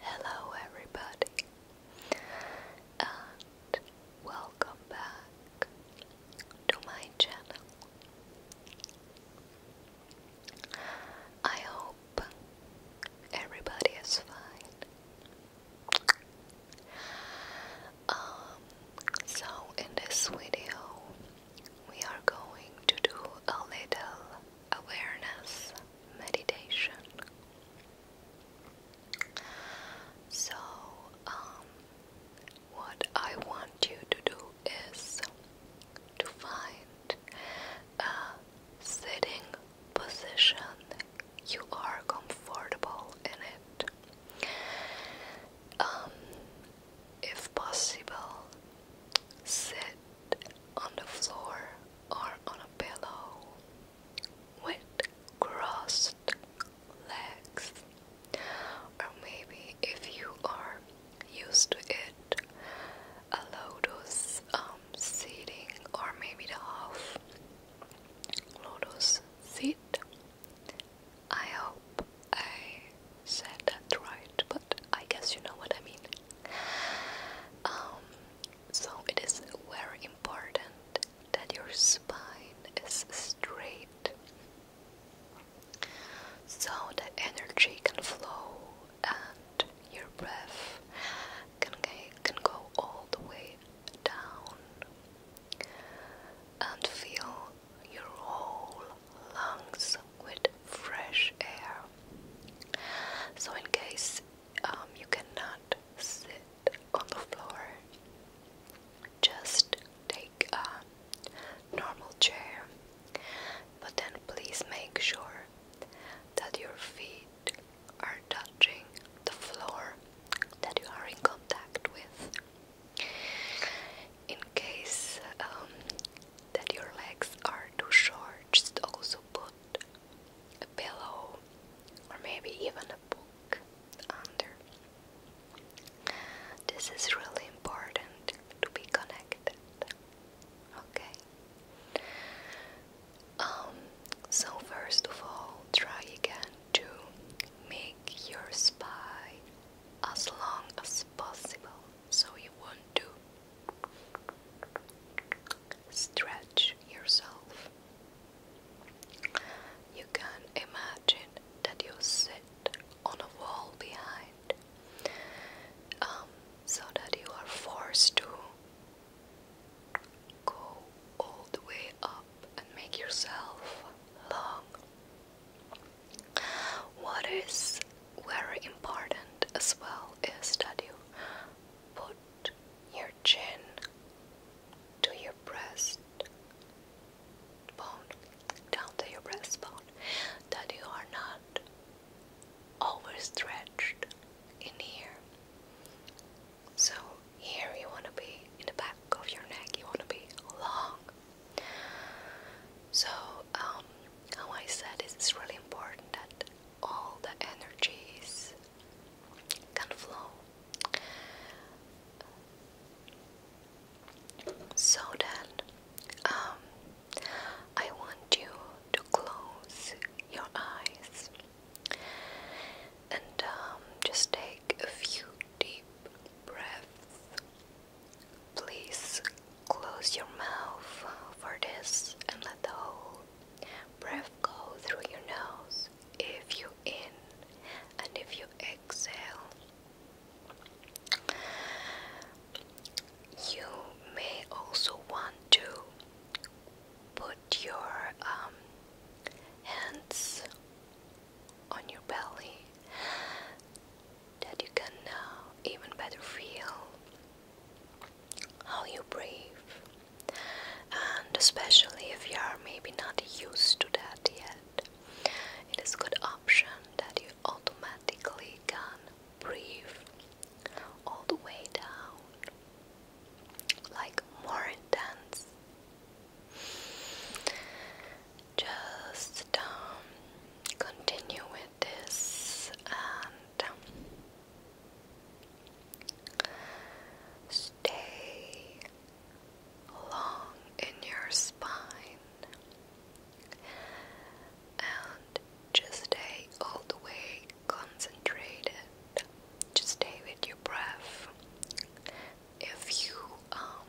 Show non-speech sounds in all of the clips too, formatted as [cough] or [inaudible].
Hello, everybody, and welcome back to my channel. I hope everybody is fine. Um, so, in this video, we are going to do a little awareness meditation. So, um, what I want you to do is to find a sitting position you are comfortable in it. Um, if possible, Sit on the floor or on a pillow with crossed legs, or maybe if you are used to it, a lotus um, or maybe the half lotus seat. I hope I said that right, but I guess you know what I mean. Um, so it is very important that your spine is straight so the energy can flow and your breath can, can go all the way down and feel your whole lungs with fresh air. So, in case um, you cannot sit on the floor, just take a normal chair, but then please make sure that your feet are touching the floor that you are in contact with in case um, that your legs are too short, just also put a pillow or maybe even a book under. This is really important to be connected. Okay. Um, so first of all, try again to make your spine as long as possible so you want to stretch yourself. You can imagine that you sit on a wall behind, um, so that you are forced to go all the way up and make yourself long. What is very important as well is that you put your chin to your breast bone, down to your breast bone, that you are not overstretched in here. So, here you want to be in the back of your neck, you want to be long so, um, I said it's really important that all the energies can flow so then um, I want you to close your eyes and um, just take a few deep breaths Please close your mouth for this and let the whole breath go through your nose if you in and if you exhale. You may also want to put your um, hands on your belly that you can now even better feel how you breathe, and especially if you are maybe not used to that yet, it is a good option that you automatically can breathe all the way down, like more intense just um, continue with this and um, stay long in your spine and just stay all the way concentrated. Just stay with your breath. If you um,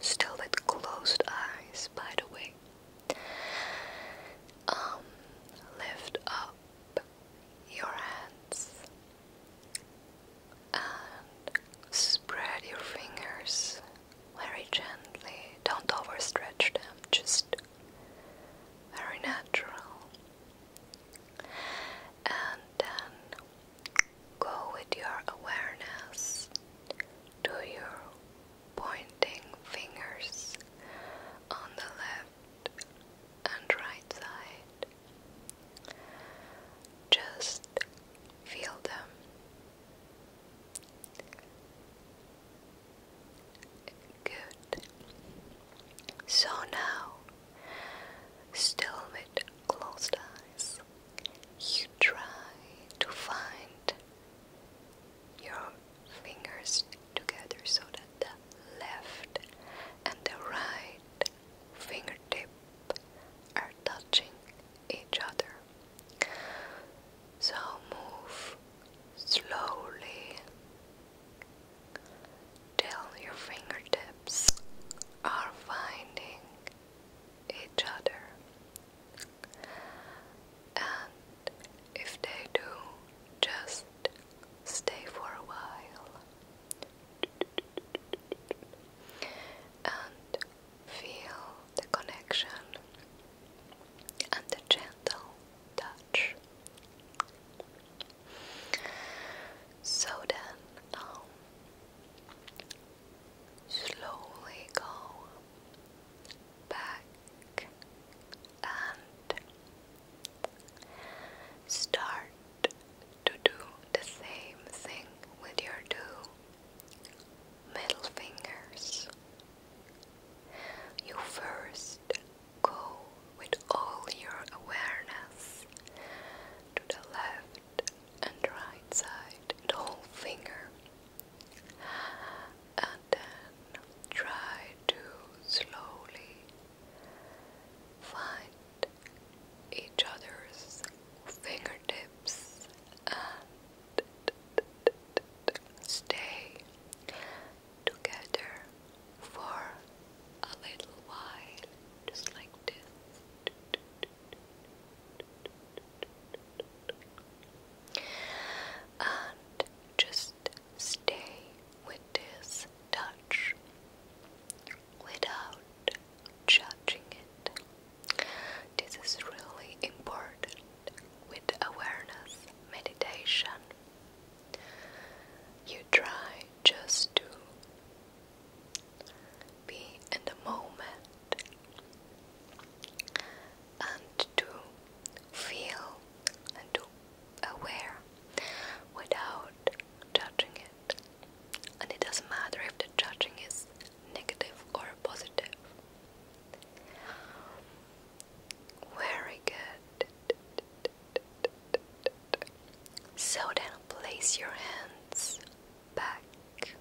still with closed eyes, by the way. Um, lift up your hands and spread your fingers very gently. Don't overstretch them, just very natural. And then Go with your awareness to your pointing fingers on the left and right side. Just feel them. Good. So now, still with closed eyes, you try to find your fingers together so that the left and the right fingertip are touching each other. So move slowly till your fingertips are finding each other. And if they do, just stay for a while and feel the connection and the gentle touch. So then, now um, slowly go back and start to do the same thing with your two middle fingers. You first go with all your awareness to the left and right side, the whole finger, and then try to slowly find each other's fingertips and stay together for a little while, just like this. And just stay with this touch without judging it. This is really important with awareness meditation. You try just to be in the moment and to feel and to aware without judging it. And it doesn't matter if the judging is negative or positive. Very good. So then place your hands back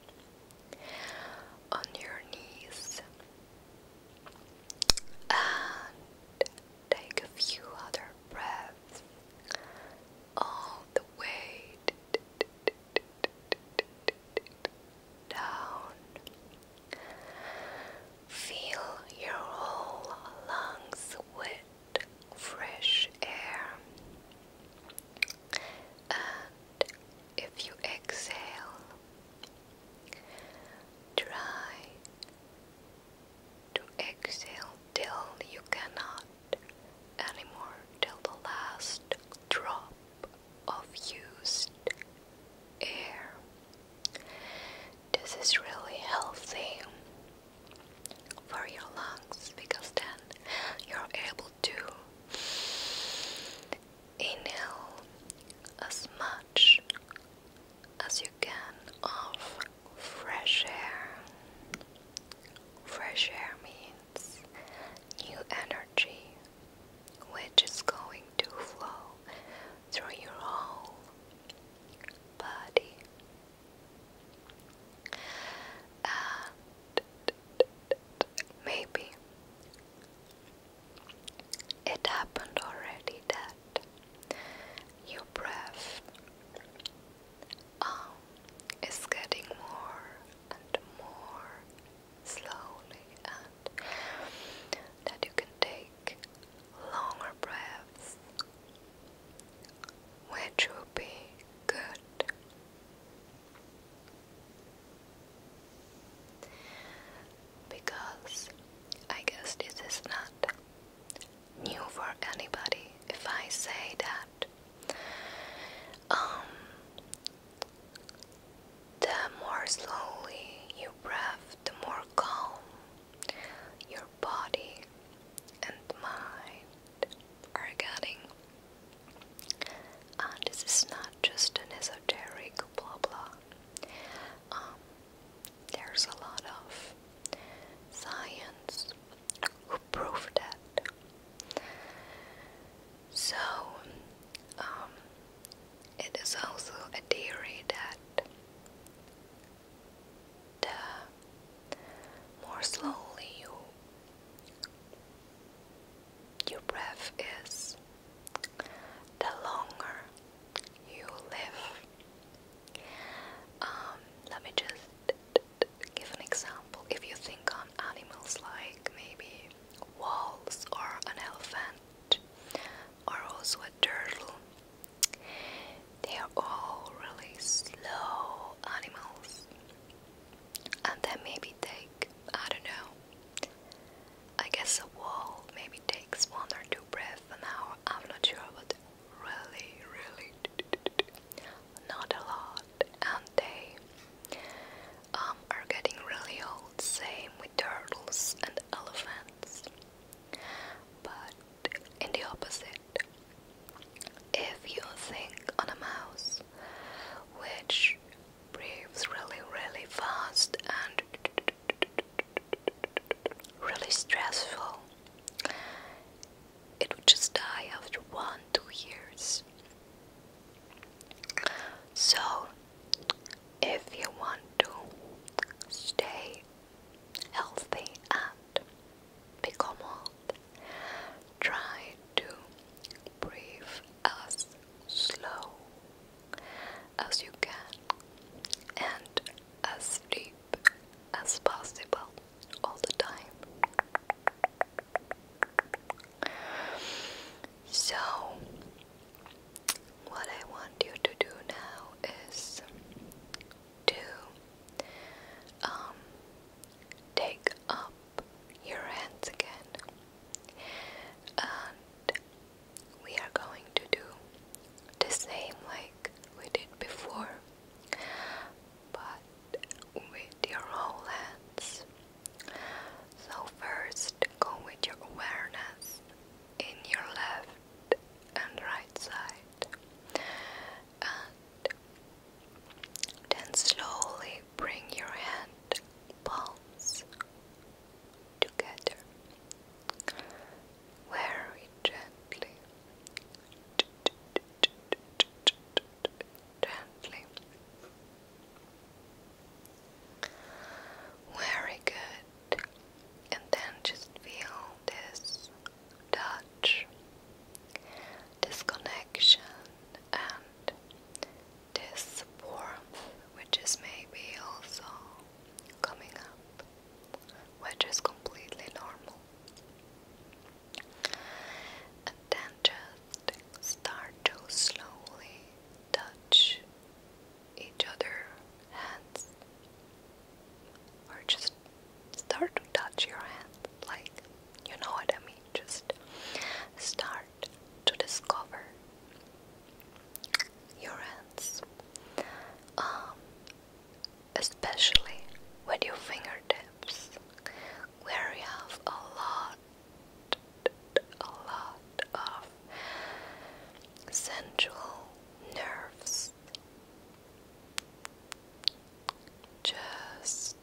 on your knees and take a few other breaths all the way down. Feel your whole lungs with fresh air. And if you exhale, try to exhale till you cannot anymore, till the last drop of used air. This is really healthy for your lungs because then you're able to inhale as much as you can of fresh air. Fresh air means new energy which is going to flow through your whole body. Uh, maybe it happened already that your breath um, is getting more and more slowly, and that you can take longer breaths which will be good. Because I guess this is not new for anybody if I say that um, the more slowly you breath, the more calm your body and mind are getting. Uh, this is not just an esoteric blah blah. Um, there's a lot of science who prove that. So, um, it is also a theory that the uh, more slowly you your breath is, the longer you live. Um, let me just give an example. If you think on animals like maybe wolves or an elephant or also a turtle, they are all really slow animals, and that maybe take I don't know. I guess a wall maybe takes one or two breaths an hour. I'm not sure, but really, really, not a lot. And they um, are getting really old. Same with turtles and elephants. But in the opposite if you think on a mouse which breathes really, really fast and really stressful, it would just die after one, two years. So, if you want to stay healthy and Picomalt tried to breathe as slow as you can and as deep as possible all the time. So, what I want you to do now is to um, take up your hands again, and we are going to do the same like we did before, but with your whole hands. So, first, go with your awareness in your left and right side and then slowly bring your hand palms together very gently gently very good and then just feel this touch, disconnection, and this warmth, which is maybe also coming up, which is completely normal. And then just start to slowly touch each other hands or just start to touch your hands, like you know what I mean. Just start to discover your hands, um, especially with your fingertips, where you have a lot, a lot of sensual nerves just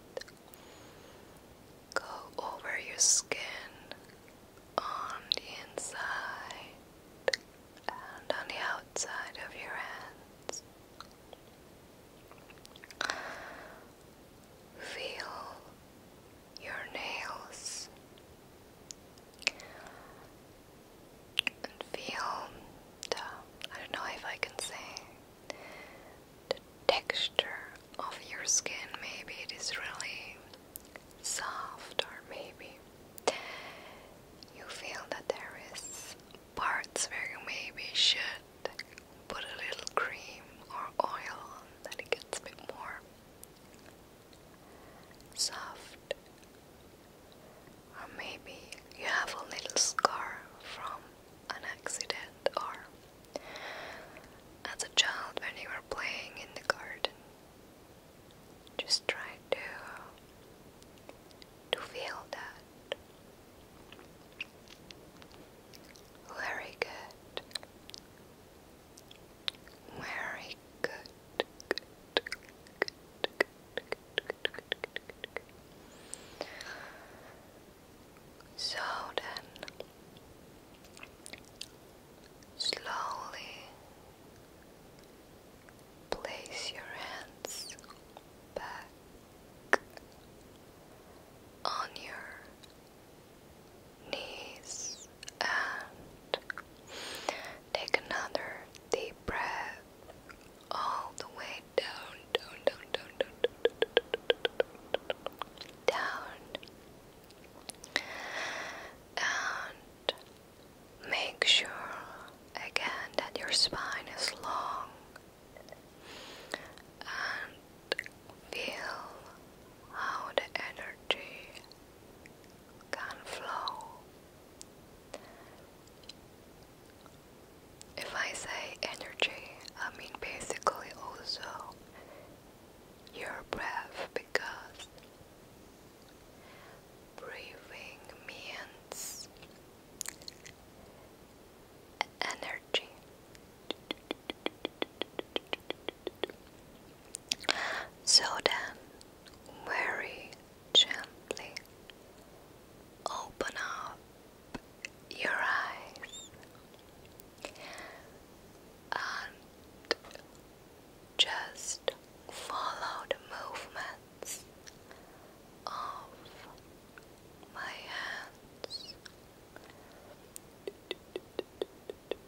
go over your skin on the inside and on the outside of your hands. Feel your nails and feel the, I don't know if I can say, the texture of your skin. Maybe it is really soft, or maybe you feel that there is parts where you maybe should put a little cream or oil on that it gets a bit more soft, or maybe you have a little scar from an accident or as a child when you were playing in the garden. Just try to to feel that. Very good. Very good. So then, slowly place your hands back on your knees and take another deep breath all the way down, down, down, down, down, down, down, down, down. and make sure again that your spine is long and feel how the energy can flow if I say energy, I mean basically also your breath because breathing means energy. So then, very gently open up your eyes and just follow the movements of my hands.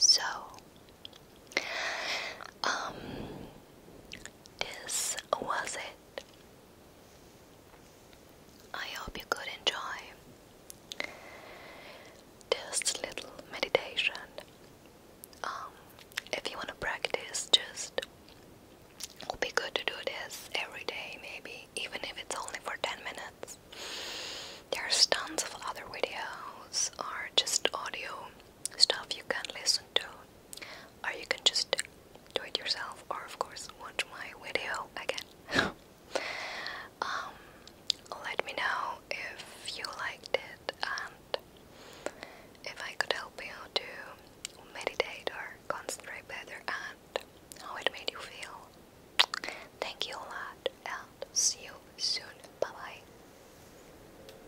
So, um, this was it. I hope you could enjoy this little meditation. Um, if you want to practice, just it would be good to do this every day, maybe even if it's only for 10 minutes. There's tons of other videos or just audio stuff you can listen to, or you can just do it yourself, or of course, watch my video again. [laughs] Um, let me know if you liked it and if I could help you to meditate or concentrate better and how it made you feel. Thank you a lot and see you soon. Bye bye.